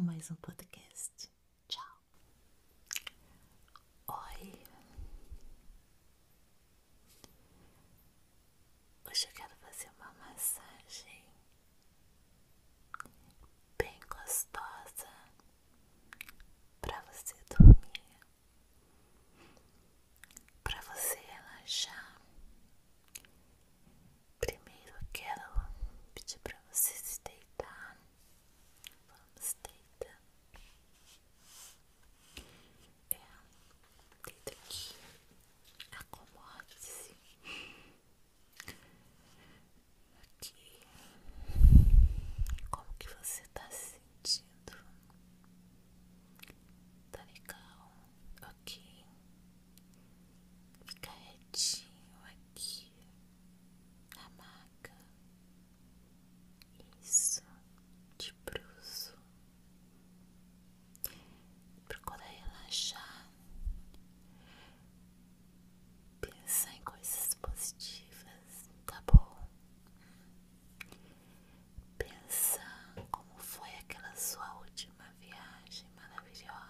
mais um podcast. Tchau. Oi. Hoje eu quero fazer uma massagem bem gostosa para você dormir, para você relaxar Primeiro eu quero pedir para você se deitar. Vamos deitar. É, deita aqui. Acomode-se. Aqui. Como que você está se sentindo? Tá legal? aqui ficar retinho aqui na maca. Isso, de bruxo. Procura relaxar. Pensar em coisas positivas, tá bom? Pensar como foi aquela sua última viagem maravilhosa.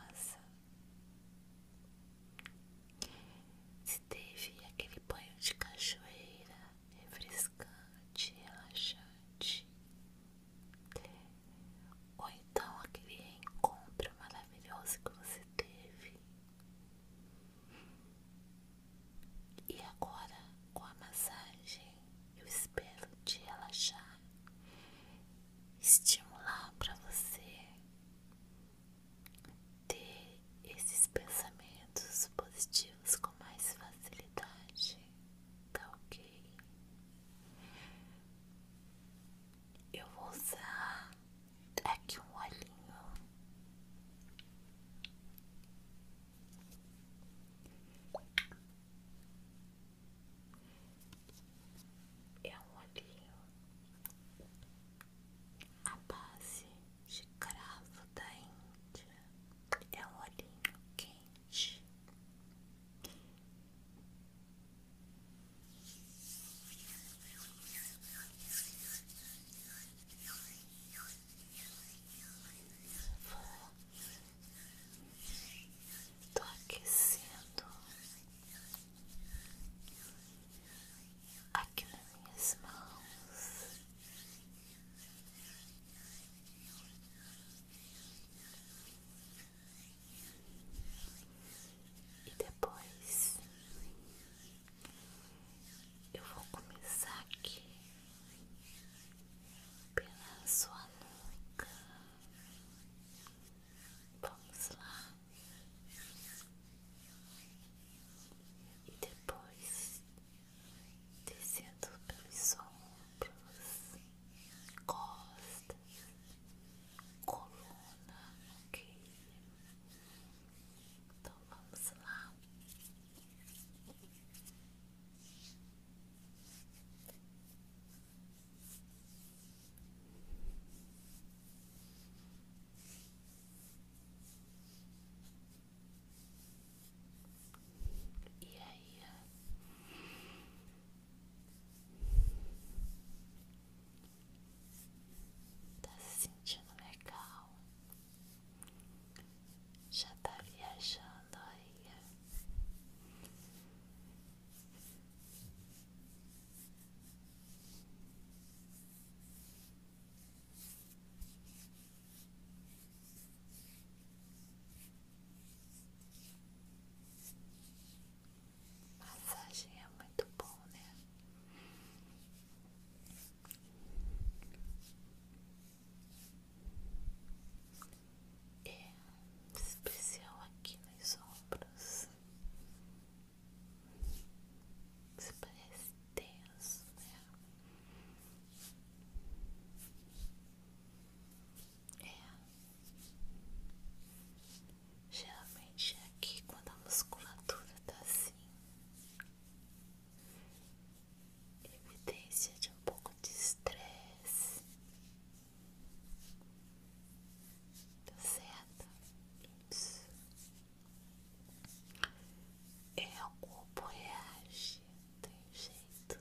Se teve aquele banho de cachoeira refrescante, relaxante, ou então aquele encontro maravilhoso que você teve. E agora, com a massagem, eu espero te relaxar estimular para você ter esses pensamentos positivos com mais facilidade, tá ok? Eu vou usar aqui um olhinho é um olhinho. A base de cravo da Índia é um olhinho quente. Tô aquecendo aqui nas minhas mãos. E depois eu vou começar aqui pela sua nuca, Vamos lá. E depois descendo pelos ombros, costas, coluna, ok? Então vamos lá. E aí? Tá se sentindo legal? Já tá viajando aí? Massagem é muito bom, né? é especial aqui nos ombros. se parece tenso, né? É. Geralmente é aqui quando a musculatura tá assim. Evidência de um pouco de estresse. Tá certo? Isso. É, o corpo reage, tem jeito.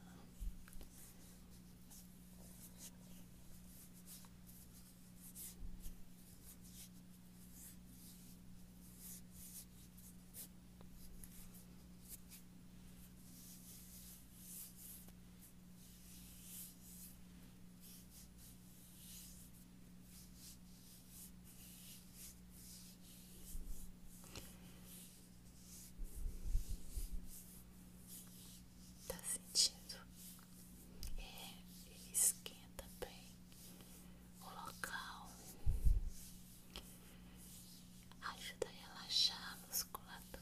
Tá sentindo? É, ele esquenta bem o local, ajuda a relaxar a musculatura.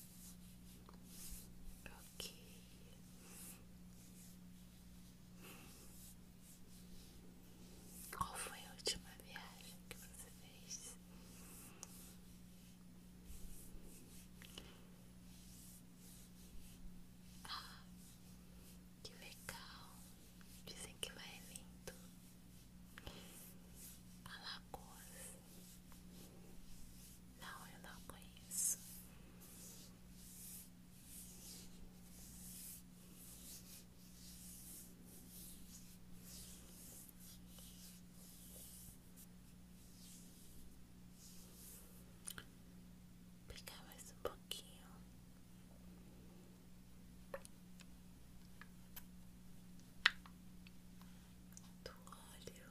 Ok. Qual foi a última viagem que você fez? Ah, que legal. Dizem que vai é lindo. Alagoas. Não, eu não conheço. Vou mais um pouquinho. Do óleo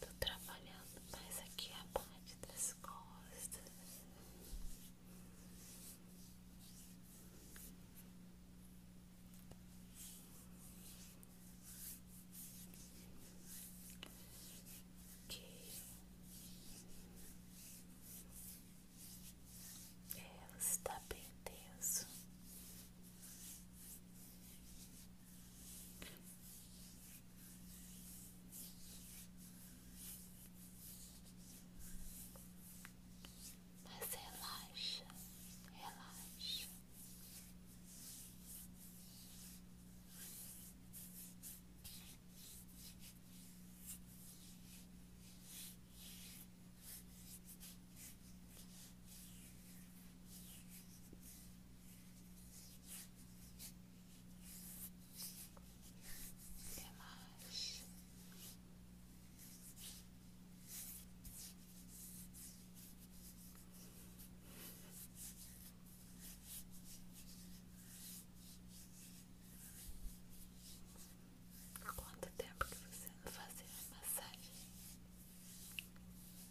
Tô trabalhando mais aqui é a parte das costas. Que está é, bem tenso. Mas relaxa, relaxa quanto tempo que você não fazia massagem?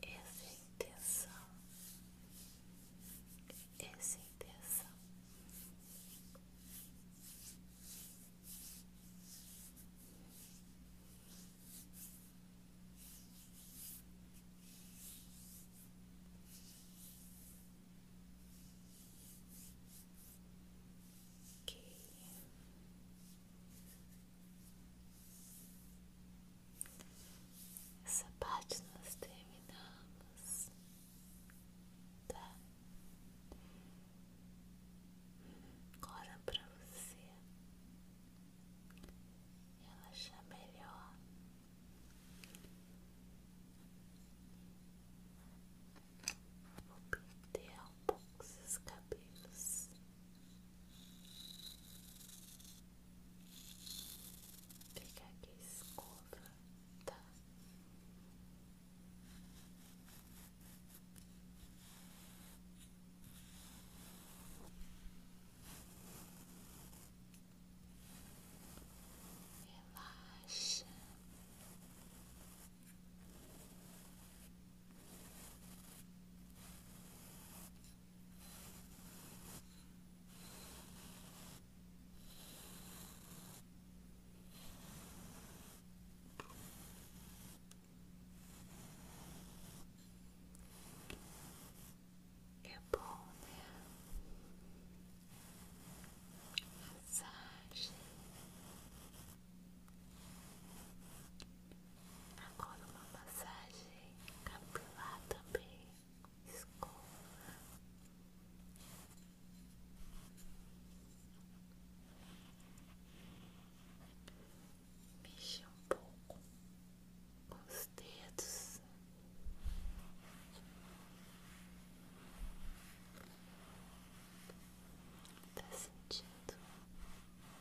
Essa é intenção, essa é intenção. que é? Essa parte nós terminamos, tá? Agora para você ela relaxar melhor. Vou pintar um pouco seus cabelos fica aqui a escova, tá? Relaxa. É bom, né? Massagem. Tá Agora uma massagem capilar também. Escova. Mexe um pouco com os dedos. Tá sentindo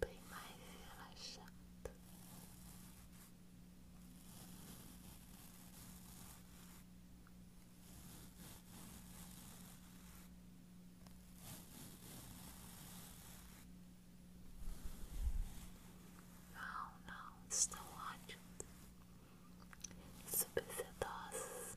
bem mais relaxado. Não, não, estão ótimos, super sedosos.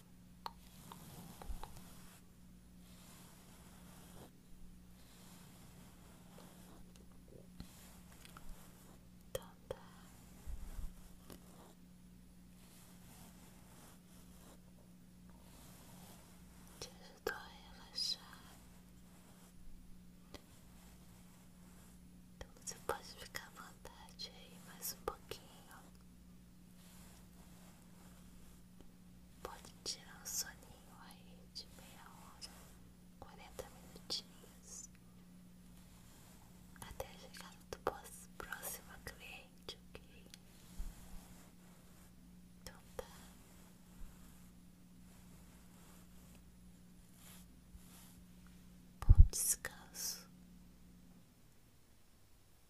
Então tá. Te ajudou a relaxar. Então você pode ficar à vontade aí mais um pouquinho. Pode tirar o soninho aí de meia hora, quarenta minutinhos, até a chegada do próximo cliente, ok? Então tá. Bom descanso.